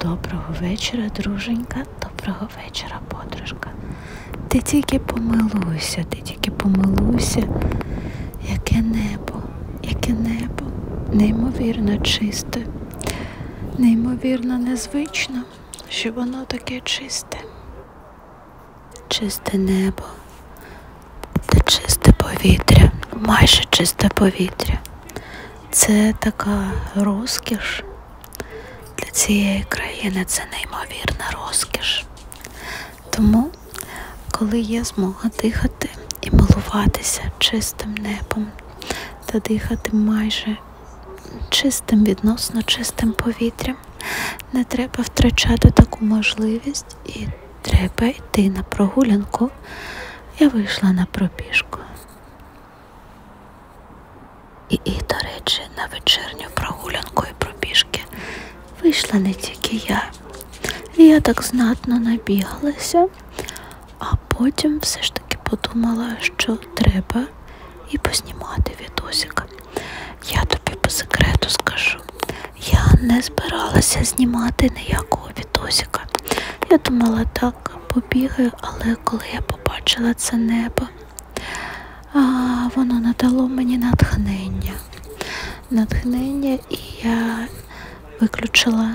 Доброго вечора, друженька, доброго вечора, подружка. Ти тільки помилуйся, ти тільки помилуйся, яке небо, яке небо, неймовірно чисте, неймовірно незвично, що воно таке чисте чисте небо та чисте повітря, майже чисте повітря. Це така розкіш для цієї країни, це неймовірна розкіш. Тому, коли є змога дихати і милуватися чистим небом та дихати майже чистим, відносно чистим повітрям, не треба втрачати таку можливість і треба йти на прогулянку. Я вийшла на пробіжку. І, і, до речі, на вечірню прогулянку і пробіжки вийшла не тільки я. Я так знатно набігалася, а потім все ж таки подумала, що треба і поснімати відосик. Я тобі по секрету скажу, я не збиралася знімати ніякого відосика. Я думала, так побігаю, але коли я побачила це небо, а, воно надало мені натхнення. Натхнення, і я виключила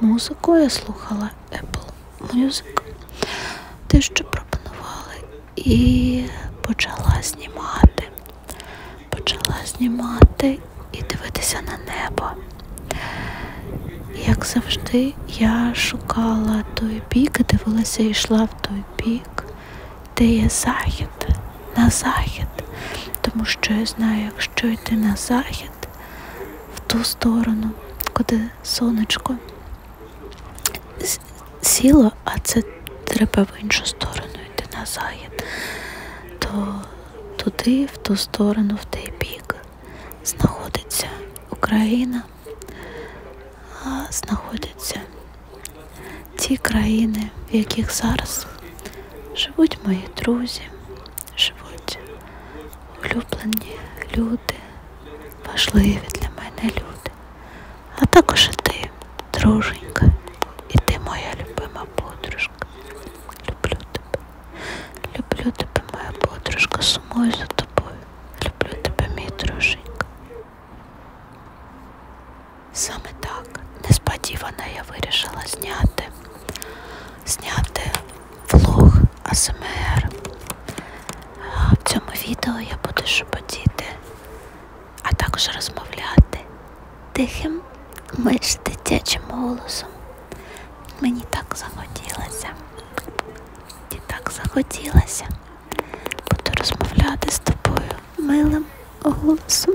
музику, я слухала Apple Music, те, що пропонували, і почала знімати. Почала знімати і дивитися на небо. Як завжди, я шукала той бік, дивилася і йшла в той бік, де є захід, на захід. Тому що я знаю, якщо йти на захід, в ту сторону, куди сонечко сіло, а це треба в іншу сторону йти на захід, то туди, в ту сторону, в той бік знаходиться Україна, а знаходяться ті країни, в яких зараз живуть мої друзі, живуть улюблені люди, важливі для мене люди а також і ти, друженька, і ти моя любима подружка. Люблю тебе, люблю тебе, моя подружка, сумую за тобою. Люблю тебе, мій друженька. Саме так несподівано я вирішила зняти, зняти влог АСМР. В цьому відео я буду шепотіти а також розмовляти тихим, майже дитячим голосом. Мені так захотілося. І так захотілося. Буду розмовляти з тобою милим голосом.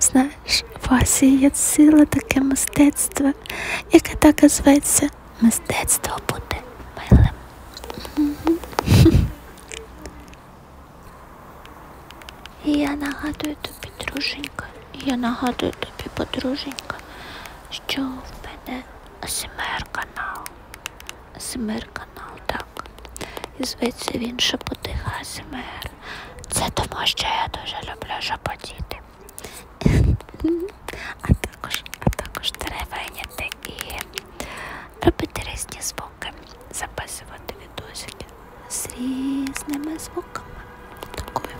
Знаєш, в Асії є сила таке мистецтво, яке так і зветься. Мистецтво бути милим. І я нагадую тобі, друженька, я нагадую тобі, подруженька, що в мене СМР канал. СМР канал, так. І зветься він Шепотиха СМР. Це тому, що я дуже люблю шепотіти. А також, а також деревеняти і робити різні звуки, записувати відосики з різними звуками. Такою.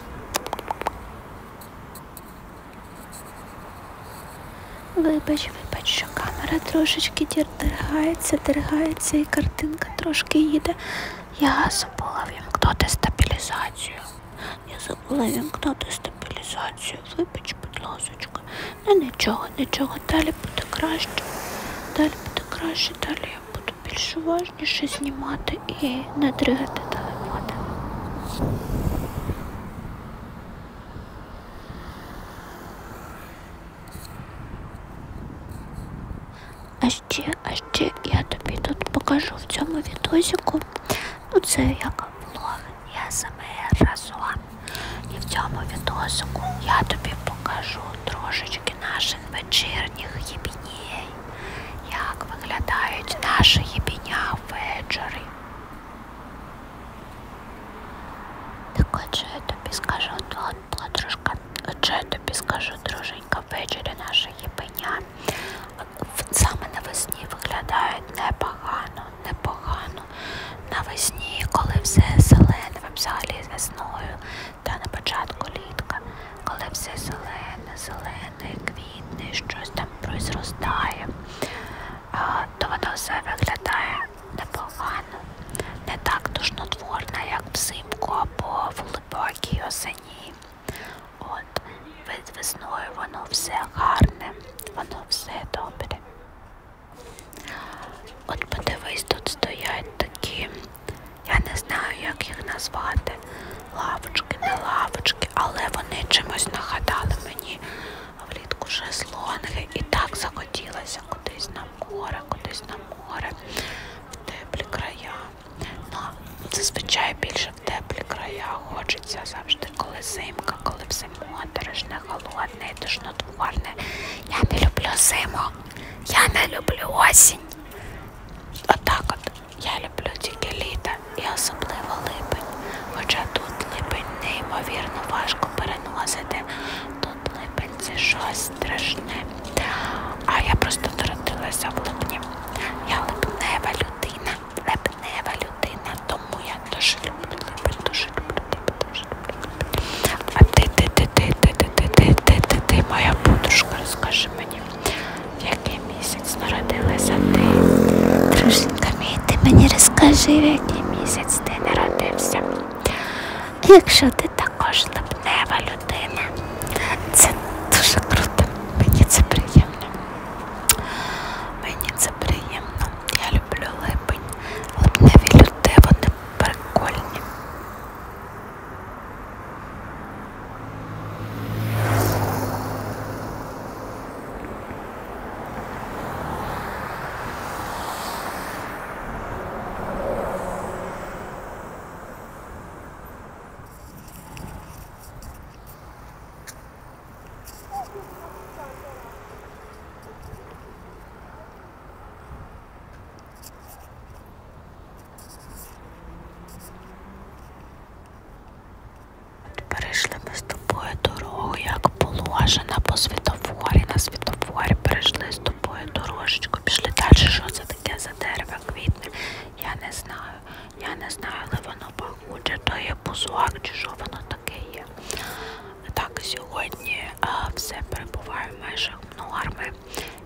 Вибач, вибач, що камера трошечки дергається, дергається і картинка трошки їде. Я забула вімкнути стабілізацію. Я забула вімкнути стабілізацію вибач, будь ласочка. Ну нічого, нічого, далі буде краще. Далі буде краще, далі я буду більш уважніше знімати і не дригати телефон. А ще, а ще я тобі тут покажу в цьому відосіку. Ну це як влог. ЄСМР разом. І в цьому відосику я тобі покажу трошечки наших вечірніх єбіній, як виглядають наші єбіня ввечері. Так отже я тобі скажу, подружка, отже я тобі скажу, друженька, ввечері наша єбиня. Саме навесні виглядають непогано непогано. Навесні, коли все зелене, взагалі весною, та на початку літка, коли все зелене, зелене, квітне, щось там прозростає, то воно все виглядає непогано, не так душнотворно, як взимку або в глибокій осені. От, весною воно все гарне, воно все добре. От подивись, тут стоять такі, я не знаю, як їх назвати. Лавочки, не лавочки, але вони чимось нагадали мені влітку шезлонги і так захотілося кудись на море, кудись на море, в теплі края. Ну, зазвичай більше в теплі края хочеться завжди морозик, коли зимка, коли все моторошне, холодне і тошнотворне. Я не люблю зиму, я не люблю осінь. Отак от, от я люблю тільки літо і особливо липень. Хоча тут липень неймовірно важко переносити. Тут липень це щось страшне. А я просто народилася в липні. Я липнева людина. Лип либнева людина, тому я дуже люблю, люблю, дуже люблю, дуже люблю. А ти, ти, ти, ти, ти, ти, ти, ти, ти, ти, ти, моя подружка, розкажи мені, в який місяць народилася ти? Дружинка мій, ти мені розкажи, в який місяць ти народився. Якщо ти також липнева людина, це дуже круто, мені це приємно. Мені це приємно. Я люблю липень. Липневі люди, вони прикольні. Перейшли ми з тобою дорогу, як положено по світофорі. На світофорі перейшли з тобою дорожечку. Пішли далі, що це таке за дерево квітне? Я не знаю. Я не знаю, але воно пахуче, то є бузуак, чи що воно таке є. Так, сьогодні а, все перебуває в межах норми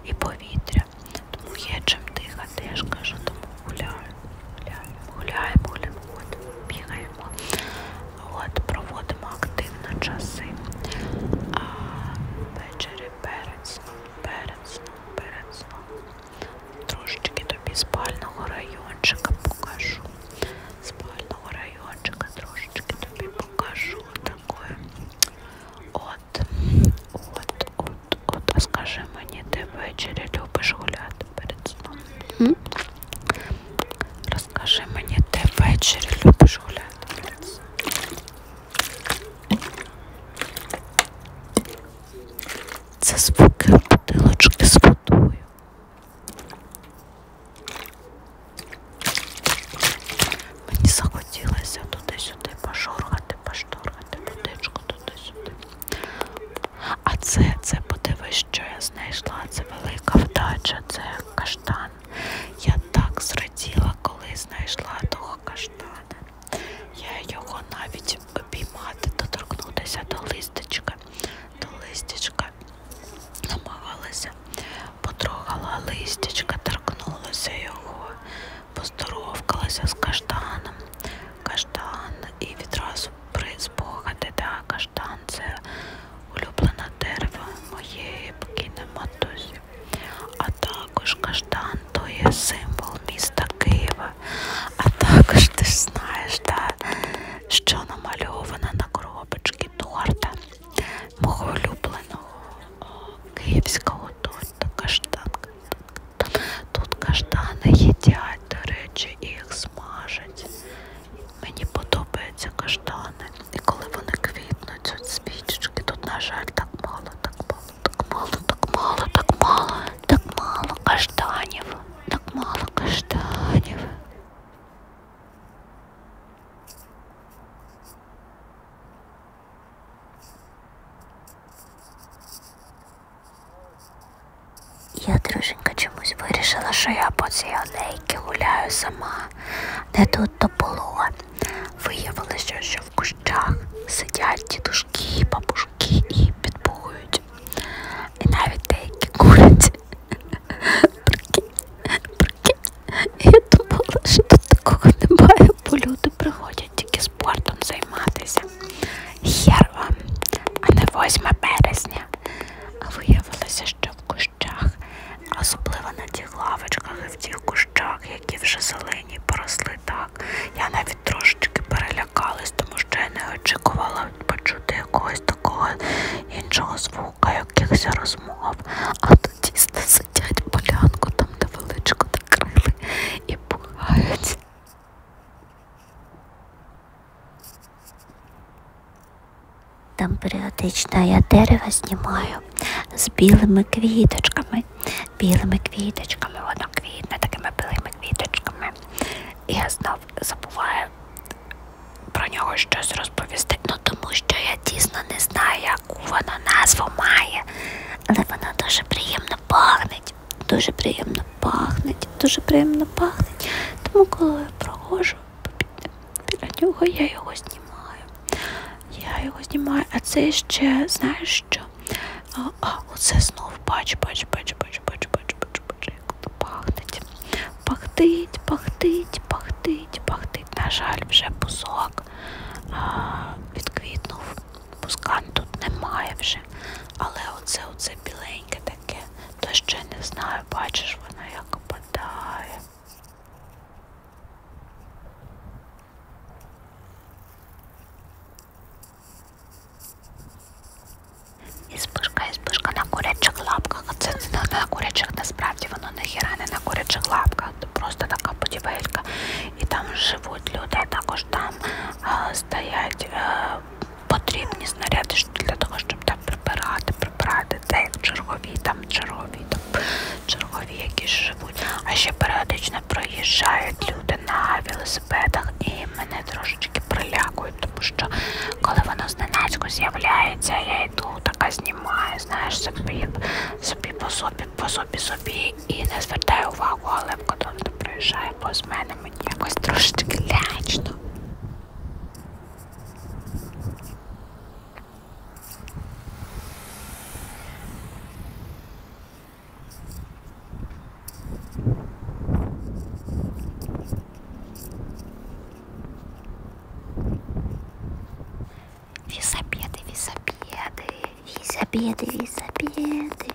і повітря. Тому є чим дихати, я ж кажу, тому гуляю, гуляємо, гуляємо, гуляємо, ходимо, бігаємо, От, проводимо активно часи. А ввечері перед сном, перед сном, перед сном. Трошечки тобі спального райончика покажу спального райончика трошечки тобі покажу такое. От, от, от, от, а скажи мені, ти ввечері любиш гуляти перед сном? М? Розкажи мені, ти ввечері любиш гуляти перед сном? Це звуки бутилочки з водою. Мені захотілося туди-сюди пошоргати, пошторгати будичку туди-сюди. А це, це подивись, що я знайшла. Це велика вдача, це каштан. Я так зраділа, коли знайшла того каштана. Я його навіть обіймати, доторкнутися до листочка, до листочка листочка. Намагалася, потрогала листячка, торкнулася його, поздоровкалася з каштаном. Каштан і відразу призбогати, да, каштан це улюблена дерево моєї покійної матусі. А також каштан то є символ міста Києва, а також ти ж знаєш, да, що намальована на коробочці торта мого улюбленого о, київського торта каштанка. Тут каштани їдять, до речі, і їх смажать. Мені подобаються каштани. І коли вони квітнуть, от свічечки, тут, на жаль, так мало, так мало, так мало, так мало, так мало. Так мало каштанів, так мало каштанів. Я, друженька, чомусь вирішила, що я по цій алейці гуляю сама, де тут то було. Виявилося, що в кущах сидять дідушки, бабушки і підбують e навіть деякі курять. Прикинь, Я думала, що тут такого немає, бо люди приходять тільки спортом займатися. Хер вам, а не 8 березня. А виявилося, що в кущах, особливо на тих лавочках і в тих кущах, які вже зелені поросли так. Я навіть трошечки перелякалась, тому що я не очікувала почути якогось такого іншого звука, якихось розмов. А тоді сидять полянку, там невеличко накрили і пугають. Там періодично я дерева знімаю з білими квіточками, білими квіточками, воно квітне такими білими квіточками. І я знов забуває про нього щось розповісти. Ну тому що я дійсно не знаю, яку вона назву має. Але вона дуже приємно пахнеть. Дуже приємно пахнеть, дуже приємно пахнеть. Тому коли я проходжу біля нього, я його знімаю. Я його знімаю, а це ще, знаєш що? А, а оце знов бач, бач, бач, бач, бач, бач, бач пахнеть. Пахтить, пахтить, пахтить, пахтить. На жаль, вже бузок відквітнув. Пускан тут немає вже. Але оце оце біленьке таке. То ще не знаю, бачиш, воно як опадає. І спишка, і спишка на курячих лапках. Це не на курячих, насправді воно ніхіра не на курячих лапках, це просто така будівелька. І там живуть люди, а також там а, е, стоять а, е, потрібні снаряди для того, щоб там прибирати, прибирати. Це як чергові, там чергові, там чергові якісь живуть. А ще періодично проїжджають люди на велосипеді велосипедах і мене трошечки прилякують, тому що коли воно зненацько з'являється, я йду, така знімаю, знаєш, собі, собі по собі, по собі собі і не звертаю увагу, але коли вона проїжджає повз мене, мені якось трошечки лячно. Візобіди, візобіди, візобіди, візобіди.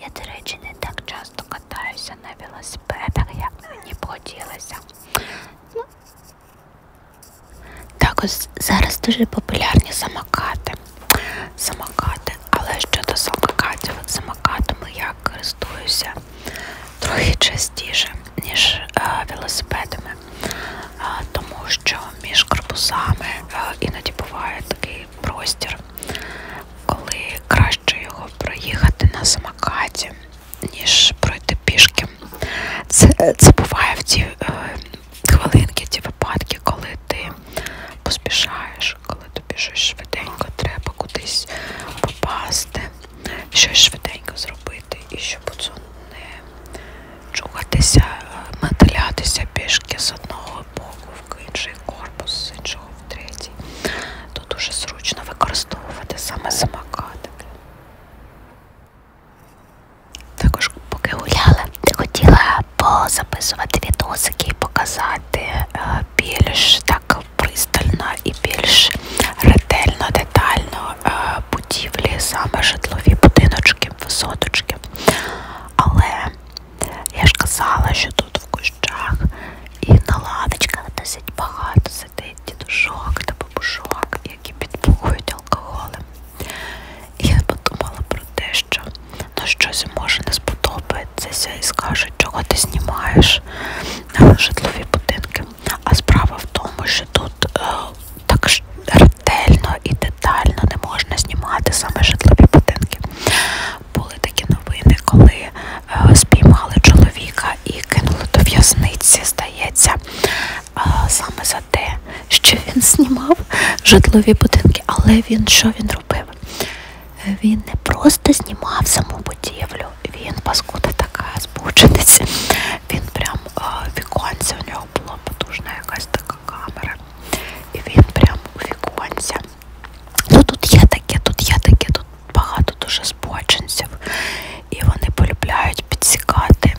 Я, до речі, не так часто катаюся на велосипедах, як мені б хотілося. Ну. Також зараз дуже популярні самокати. Самокат сказати. Але щодо самокатів, самокатами я користуюся трохи частіше, ніж е, велосипедами, е, тому що між корпусами е, іноді буває такий простір, коли краще його проїхати на самокаті, ніж пройти пішки. Це, е, це буває в ті е, хвилинки, ті випадки, коли ти поспішаєш, коли тобі щось швиденько треба кудись попасти, щось швиденько зробити і щоб оцю не чухатися, е, металятися пішки з одного боку в інший корпус, з іншого в третій. То дуже зручно використовувати саме самокатики. Також поки гуляла, ти хотіла позаписувати відосики і показати е, більш так пристально і більш ретельно, детально е, будівлі, саме житлові будиночки, висоточки. Але я ж казала, що тут в кущах і на ладочках досить багато сидить дідушок та бабушок, які підбухують алкоголем. І я подумала про те, тощо, ну щось може не сподобатися і скажуть, чого ти знімаєш житлові будинки. А справа в тому, що тут е, так ретельно і детально не можна знімати саме житлові будинки. Були такі новини, коли е, спіймали чоловіка і кинули до в'язниці, здається, е, саме за те, що він знімав житлові будинки, але він що він робив? Він не просто знімав саму будівлю, він, паскуда така збучениця, він прям е, віконця, у нього була потужна якась така камера. І він прям у віконця. Ну тут є таке, тут є таке, тут багато дуже збочинців. І вони полюбляють підсікати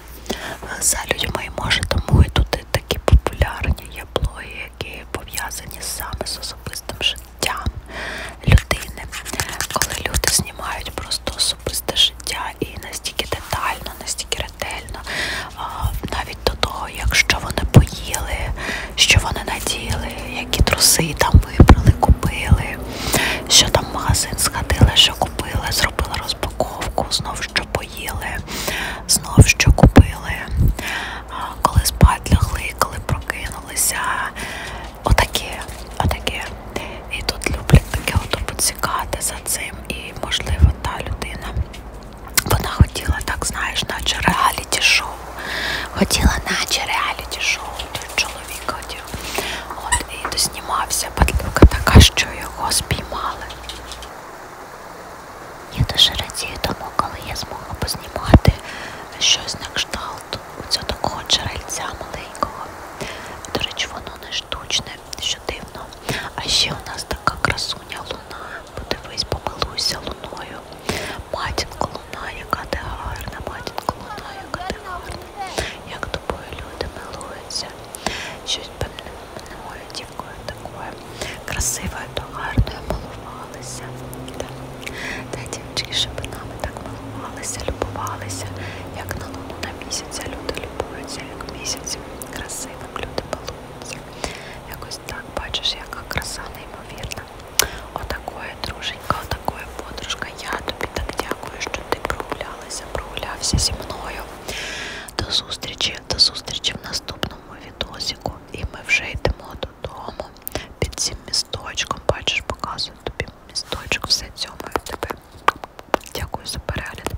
за людьми. І може тому і тут і такі популярні є блоги, які історії пов'язані саме з особистим життям людини. Коли люди знімають просто особисте життя і настільки детально, настільки ретельно, навіть до того, якщо вони поїли, що вони наділи, які труси там вибрали, купили, що там магазин сходили, що купили, зробили розпаковку, знов що поїли, знов що купили коли спать лягли, коли прокинулися. Отаке, отаке. І тут люблять таке ото поцікати за цим. І, можливо, та людина. Вона хотіла, так знаєш, наче реаліті шоу. Хотіла, наче реаліті шоу. Чоловік хотів. От і доснімався, падлюка така, що його спіймали. Я дуже радію тому, коли я змогла познімати щось на кшталт оцього такого джерельця маленького. До речі, воно не штучне, що дивно. А ще у нас така красуня луна. Подивись, помилуйся луною. Матінко луна, яка ти гарна, матінко луна, яка ти гарна. Як тобою люди милуються. Щось певне не можуть дівкою такою красивою, то гарною малувалися. Та, та дівчі шипинами так малувалися, любувалися, як на луну на місяця люди любуються, як місяць красивим люди балуються. Якось так бачиш, яка краса неймовірна. Отакої, друженька, отакої подружка. Я тобі так дякую, що ти прогулялася, прогулявся зі мною. До зустрічі, до зустрічі в наступному відосіку і ми вже йдемо додому. Під цим місточком, бачиш, показую тобі місточок, все цьому і тебе. Дякую за перегляд.